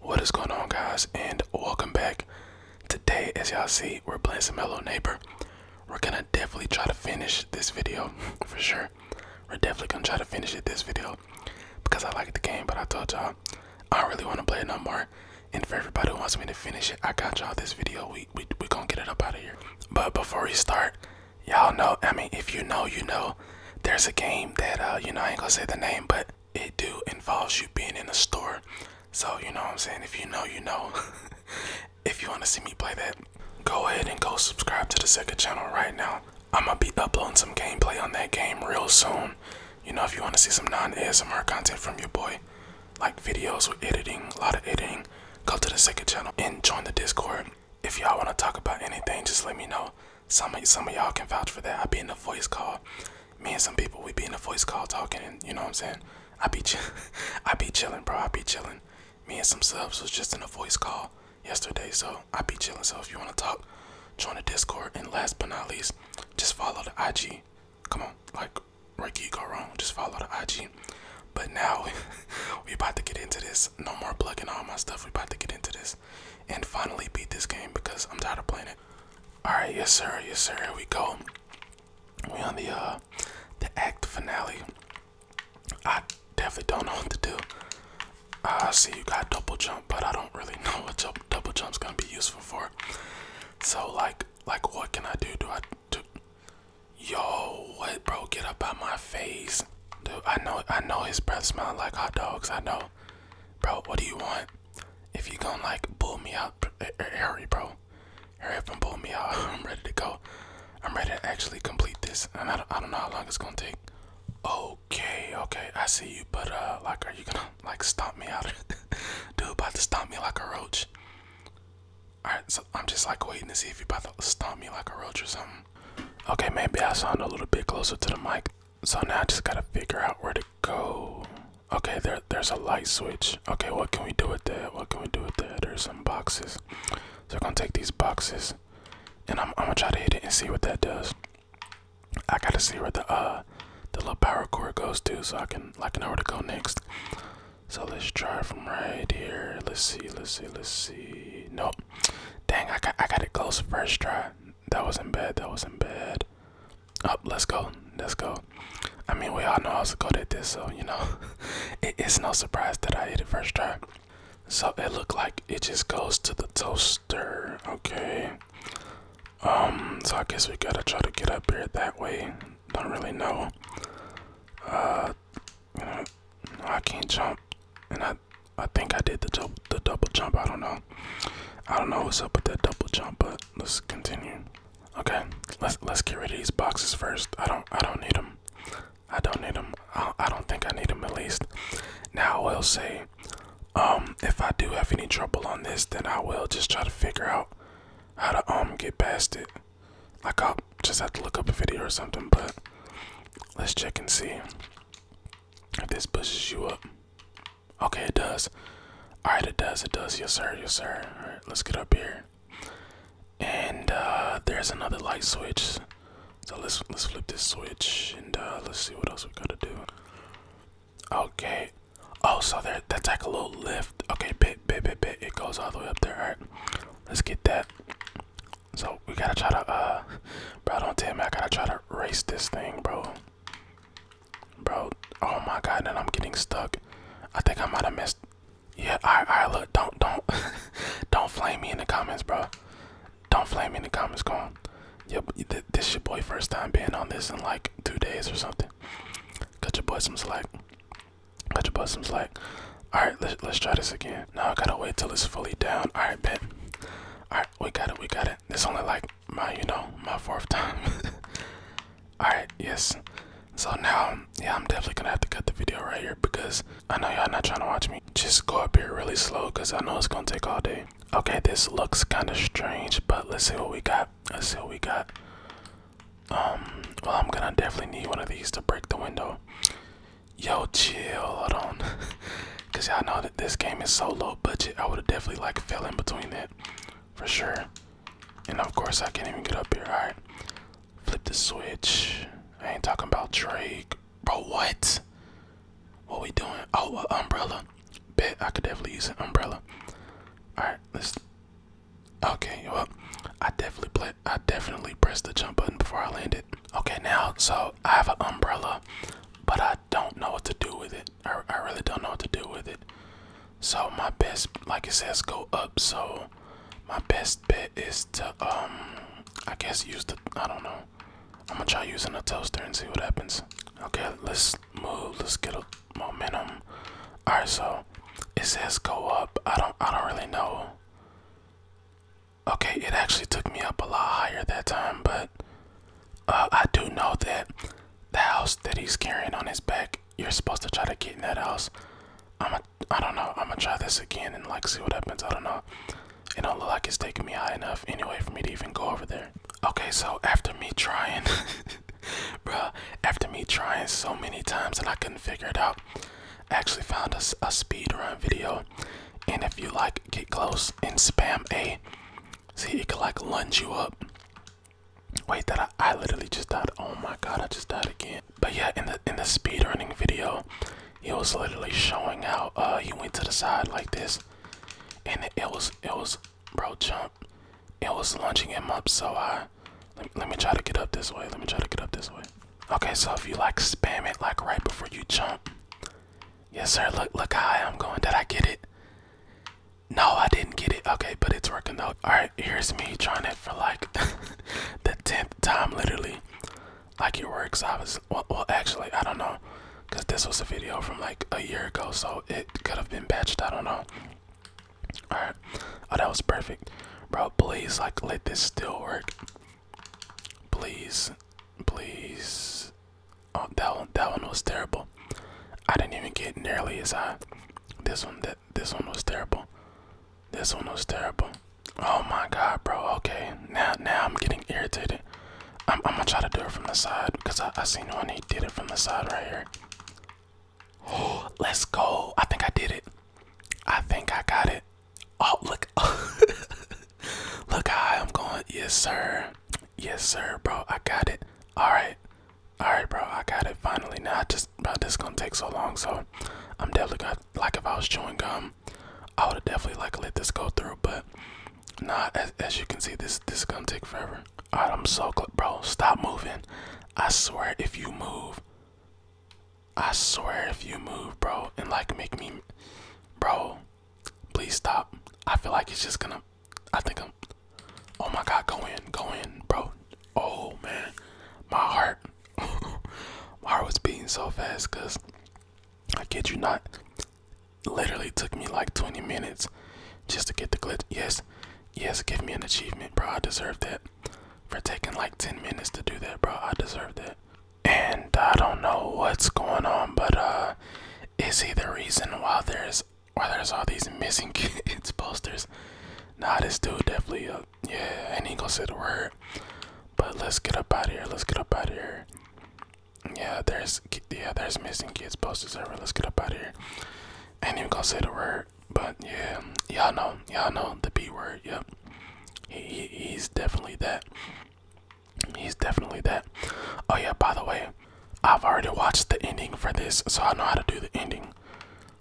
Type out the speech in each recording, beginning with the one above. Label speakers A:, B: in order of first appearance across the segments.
A: What is going on guys and welcome back. Today as y'all see we're playing some Hello Neighbor. We're gonna definitely try to finish this video for sure. We're definitely gonna try to finish it this video because I like the game but I told y'all I don't really wanna play it no more. And for everybody who wants me to finish it, I got y'all this video. We we we gonna get it up out of here. But before we start, y'all know, I mean if you know you know there's a game that uh you know I ain't gonna say the name but it do involves you being in a store. So you know what I'm saying? If you know, you know. if you wanna see me play that, go ahead and go subscribe to the second channel right now. I'ma be uploading some gameplay on that game real soon. You know, if you wanna see some non-ASMR content from your boy, like videos with editing, a lot of editing, go to the second channel and join the Discord. If y'all wanna talk about anything, just let me know. Some some of y'all can vouch for that. I be in a voice call. Me and some people we be in a voice call talking, and you know what I'm saying. I be I be chilling, bro. I be chilling. Me and some subs was just in a voice call yesterday, so I be chilling. So if you wanna talk, join the Discord. And last but not least, just follow the IG. Come on, like where you go wrong, just follow the IG. But now we about to get into this. No more plugging all my stuff. We about to get into this and finally beat this game because I'm tired of playing it. Alright, yes sir, yes sir, here we go. We on the uh the act finale. I definitely don't know what to do. I see you got double jump, but I don't really know what jump, double jump's gonna be useful for. So like like what can I do? Do I do Yo, what bro, get up out my face. Dude, I know I know his breath smells like hot dogs, I know bro. what do you want? If you gonna like pull me out, eh, eh, hurry, bro. Hurry up and pull me out. I'm ready to go. I'm ready to actually complete this, and I don't, I don't know how long it's gonna take. Okay, okay, I see you, but uh, like, are you gonna like stomp me out? Dude, about to stomp me like a roach. Alright, so I'm just like waiting to see if you're about to stomp me like a roach or something. Okay, maybe I sound a little bit closer to the mic. So now I just gotta figure out where to go. Okay, there there's a light switch. Okay, what can we do with that? What can we do with that? There's some boxes. So I'm gonna take these boxes and I'm, gonna try to hit it and see what that does. I gotta see where the uh the little power cord goes to so I can like know where to go next. So let's try from right here. Let's see, let's see, let's see. Nope. Dang, I got I got it close first try that wasn't bad. That wasn't bad. Up, oh, let's go. Let's go. I mean, we all know how to go at this, so you know, it's no surprise that I hit it first try. So it looked like it just goes to the toaster. Okay. Um. So I guess we gotta try to get up here that way. Don't really know. Uh. You know, I can't jump, and I I think I did the double, jump. I don't know. I don't know what's up with that double jump, but let's continue. Okay, let's let's get rid of these boxes first. I don't I don't need them. I don't need them. I, I don't think I need them at least. Now I will say, um, if I do have any trouble on this, then I will just try to figure out how to um get past it. Like I'll just have to look up a video or something. But let's check and see if this pushes you up. Okay, it does. Alright, it does, it does. Yes, sir, yes, sir. Alright, let's get up here. And uh, there's another light switch. So let's let's flip this switch and uh, let's see what else we gotta do. Okay. Oh, so there that's like a little lift. Okay, bit, bit, bit, bit. It goes all the way up there. All right, let's get that. So we gotta try to, uh, bro, don't tell me I gotta try to race this thing, bro. Bro, oh my god, that I'm getting stuck. I think I might have missed. Yeah, I, all right, look, don't, don't, don't flame me in the comments, bro. Don't flame me in the comments, go on. Yep, this your boy first time being on this in like two days or something. Cut your boy some slack. Cut your boy some slack. All right, let's let's try this again. Now I gotta wait till it's fully down. All right, bet. All right, we got it, we got it man, this only like my, you know, my fourth time. Alright, yes. So now, yeah, I'm definitely gonna have to cut the video right here because I know y'all not trying to watch me. Just go up here really slow because I know it's gonna take all day. Okay, this looks kind of strange, but let's see what we got. Let's see what we got. Um, well, I'm gonna definitely need one of these to break the window. Yo, chill, hold on. Cause y'all know this game is so low budget, I would have definitely like fell in between it, for sure. And of course, I can't even get up here. All right, flip the switch. I ain't talking about Drake, bro. What? What we doing? Oh, uh, umbrella. Bet I could definitely use an umbrella. All right, let's. Okay, well, I definitely I definitely pressed the jump button before I landed. Okay, now, so I have an umbrella, but I don't know what to do with it. I, I really don't know what to do with it. So my best, like it says, go up. So my best bet is to, um, I guess use the, I don't know. I'm gonna try using a toaster and see what happens. Okay, let's move. Let's get a momentum. All right, so it says go up. I don't, I don't really know. Okay, it actually took me up a lot higher that time, but uh, I do know that the house that he's carrying on his back, you're supposed to try to get in that house. I'm a, I don't know. I'm gonna try this again and like see what happens. I don't know. It don't look like it's taking me high enough anyway for me to even go over there. Okay, so after me trying, bruh, after me trying so many times and I couldn't figure it out, I actually found a, a speed video. And if you like get close press and spam A. See, it could like lunge you up. Wait, that I, I literally just died. Oh my god, I just died again. But yeah, in the in the speed running video, it was literally showing how uh he went to the side like this, and it, was it was bro jump. It was lunging him up, so I let, let me try to get up this way. Let me try to get up this way. Okay, so if you like spam it like right before you jump, Yes, sir. Look, look how high I'm going. Did I get it? No, I didn't get it. Okay, but it's working though. All right, here's me trying it for like the tenth time, literally. Like it works. I was well, actually, I don't know, cause this was a video from like a year ago, so it could have been patched. I don't know. All right. Oh, that was perfect, bro. Please, like, let this still work. Please, please. Oh, that one, that one was terrible. I didn't even get nearly as high. This one, that this one was terrible. This one was terrible. Oh my god, bro. Okay, now now I'm getting irritated. I'm, I'm gonna try to do it from the side because I, I seen one he did it from the side right here. let's go. I think I did it. I think I got it. Oh, look. look how I'm going. Yes, sir. Yes, sir, bro. I got it. All right. All right, bro. I got it finally. Now, I just, bro, this going to take so long. So, I'm definitely going to, like, if I was chewing gum, I would have definitely, like, let this go through. But, not as, as you can see, this, this is going to take forever. All right, I'm so Bro, stop moving. I swear, if you move, I swear, if you move, bro, and, like, make me, bro. Please stop. I feel like it's just gonna. I think I'm. Oh my god, go in, go in, bro. Oh man, my heart. my heart was beating so fast because I kid you not. Literally took me like 20 minutes just to get the glitch. Yes, yes, give me an achievement, bro. I deserve that. For taking like 10 minutes to do that, bro. I deserve that and I don't know what's going on, but uh, is he the reason why there's why there's all these missing kids posters? Nah, this dude definitely, a uh, yeah, and he gonna say the word. But let's get up out of here. Let's get up out of here. Yeah, there's yeah, there's missing kids posters everywhere. Let's get up out of here. Ain't even gonna say the word, but yeah, y'all know, y'all know the B word. Yep, he, he's definitely that. He's definitely that. Oh yeah, by the way, I've already watched the ending for this, so I know how to do the ending.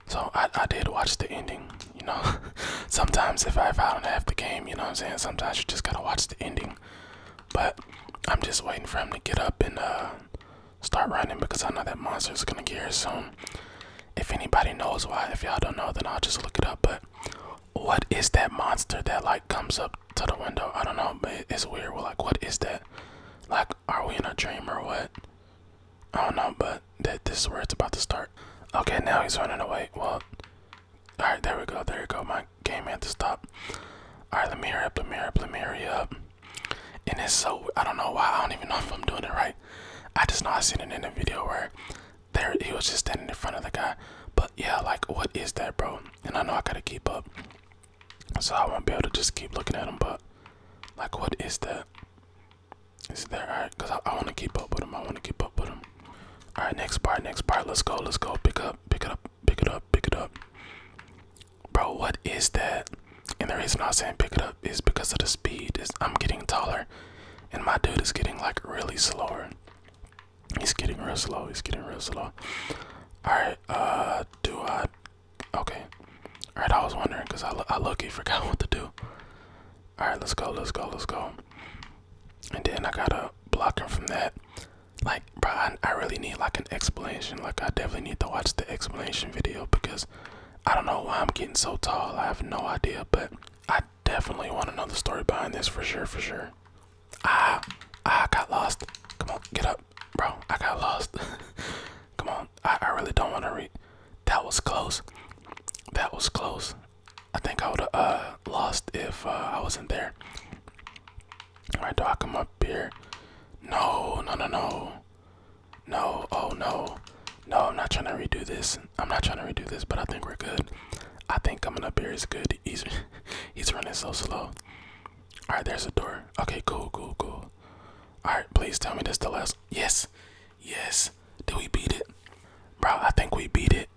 A: So I, I did watch the ending, you know. sometimes if I, don't have the game, you know what I'm saying? Sometimes you just gotta watch the ending. But I'm just waiting for him to get up and uh, start running because I know that monster's gonna get here soon. If anybody knows why, if y'all don't know, then I'll just look it up. But what is that monster that like comes up to the window? I don't know, but it's weird. We're like, what is that? Like, are we in a dream or what? I don't know, but that this is where it's about to start. Okay, now he's running away. Well, all right, there we go, there we go. My game had to stop. All right, let me hurry up, let me hurry up, let me hurry up. And it's so I don't know why I don't even know if I'm doing it right. I just know I seen it in the video where there he was just standing in front of the guy. But yeah, like what is that, bro? And I know I gotta keep up, so I won't be able to just keep looking at him. But like, what is that? Is there alright? Cause I, want to keep up with him. I want to keep up with him. All right, next part, next part. Let's go. Let's go. Pick it up. Pick it up. Pick it up. Pick it up. Bro, what is that? And the reason I'm saying pick it up is because of the speed. Is I'm getting taller, and my dude is getting like really slower. He's getting real slow. He's getting real slow. Alright, uh, do I. Okay. Alright, I was wondering because I, I look, he forgot what to do. Alright, let's go, let's go, let's go. And then I gotta block him from that. Like, bro, I, I really need like an explanation. Like, I definitely need to watch the explanation video because I don't know why I'm getting so tall. I have no idea, but I Definitely want to know the story behind this for sure, for sure. Ah, I got lost. Come on, get up, bro. I got lost. Come on, I, I really don't want to read. That was close. That was close. I think I would have uh, lost if uh, I wasn't there. All right, do I come up here? No, no, no, no. No, oh no. No, I'm not trying to redo this. I'm not trying to redo this, but I think we're good. I think I'm coming up here is good. He's he's running so slow. All right, there's a door. Okay, cool, cool, cool. All right, please tell me this the last. Yes, yes. Did we beat it, bro? I think we beat it.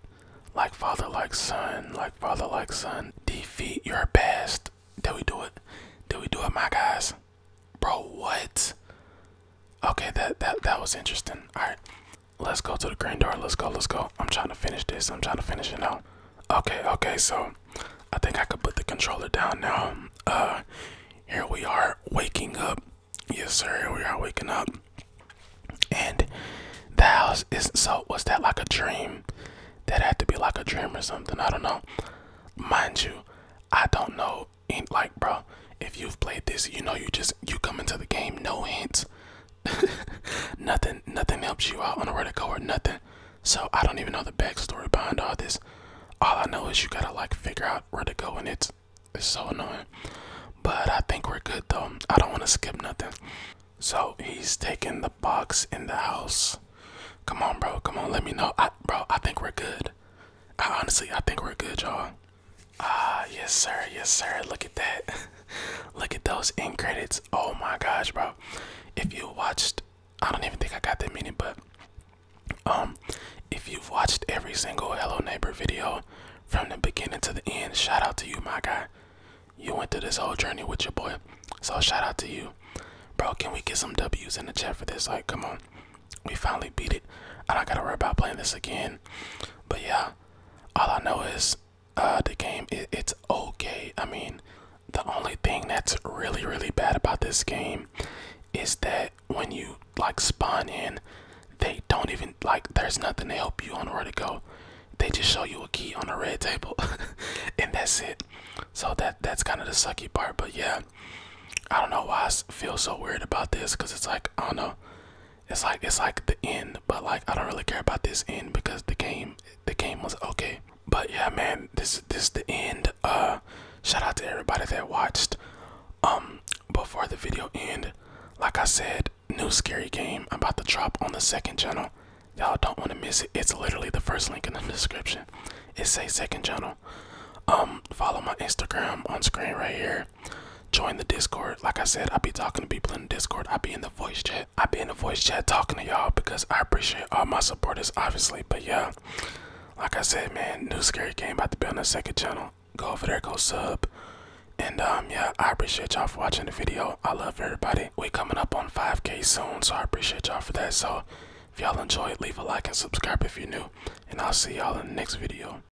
A: Like father, like son, like father, like son. Defeat your best. Did we do it? Did we do it, my guys? Bro, what? Okay, that that that was interesting. All right, Let's go to the green door. Let's go. Let's go. I'm trying to finish this. I'm trying to finish it now. Okay. Okay. So I think I could put the controller down now. Uh, here we are waking up. Yes, sir. Here we are waking up. And the house is not so. Was that like a dream? That had to be like a dream or something. I don't know. Mind you, I don't know. Ain't Like, bro, if you've played this, you know you just you come into the game no hints. nothing nothing helps you out on where to go or nothing. So I don't even know the backstory behind all this. All I know is you gotta like figure out where to go and it's it's so annoying. But I think we're good though. I don't wanna skip nothing. So he's taking the box in the house. Come on, bro. Come on, let me know. bro, I think we're good. honestly, I think we're good, y'all. Ah, yes, sir. Yes, sir. Look at that. Look at those end credits. Oh my gosh, bro. If you watched, I don't even think I got that many, but um, if you've watched every single Hello Neighbor video from the beginning to the end, shout out to you, my guy. You went through this whole journey with your boy. So shout out to you. Bro, can we get some W's in the chat for this? Like, come on. We finally beat it. I don't gotta worry about playing this again. But yeah, all I know is uh, the game it's okay. I mean, the only thing that's really really bad about this game is that when you like spawn in, they don't even like there's nothing to help you on where to go. They just show you a key on a red table, and that's it. So that that's kind of the sucky part. But yeah, I don't know why I feel so weird about this because it's like I don't know it's like it's like the end, but like I don't really care about this end because the game the game was okay. But yeah, man, this this is the end. Uh, shout out to everybody that watched. Um, before the video end, like I said, new scary game about to drop on the second channel. Y'all don't want to miss it. It's literally the first link in the description. It says second channel. Um, follow my Instagram on screen right here. Join the Discord. Like I said, I be talking to people in the Discord. I be in the voice chat. I be in the voice chat talking to y'all because I appreciate all my supporters, obviously. But yeah, like I said, man, new scary game about to be on the second channel. Go over there, go sub. And um yeah, I appreciate y'all for watching the video. I love everybody. We coming up on 5k soon, so I appreciate y'all for that. So if y'all enjoyed, leave a like and subscribe if you're new. And I'll see y'all in the next video.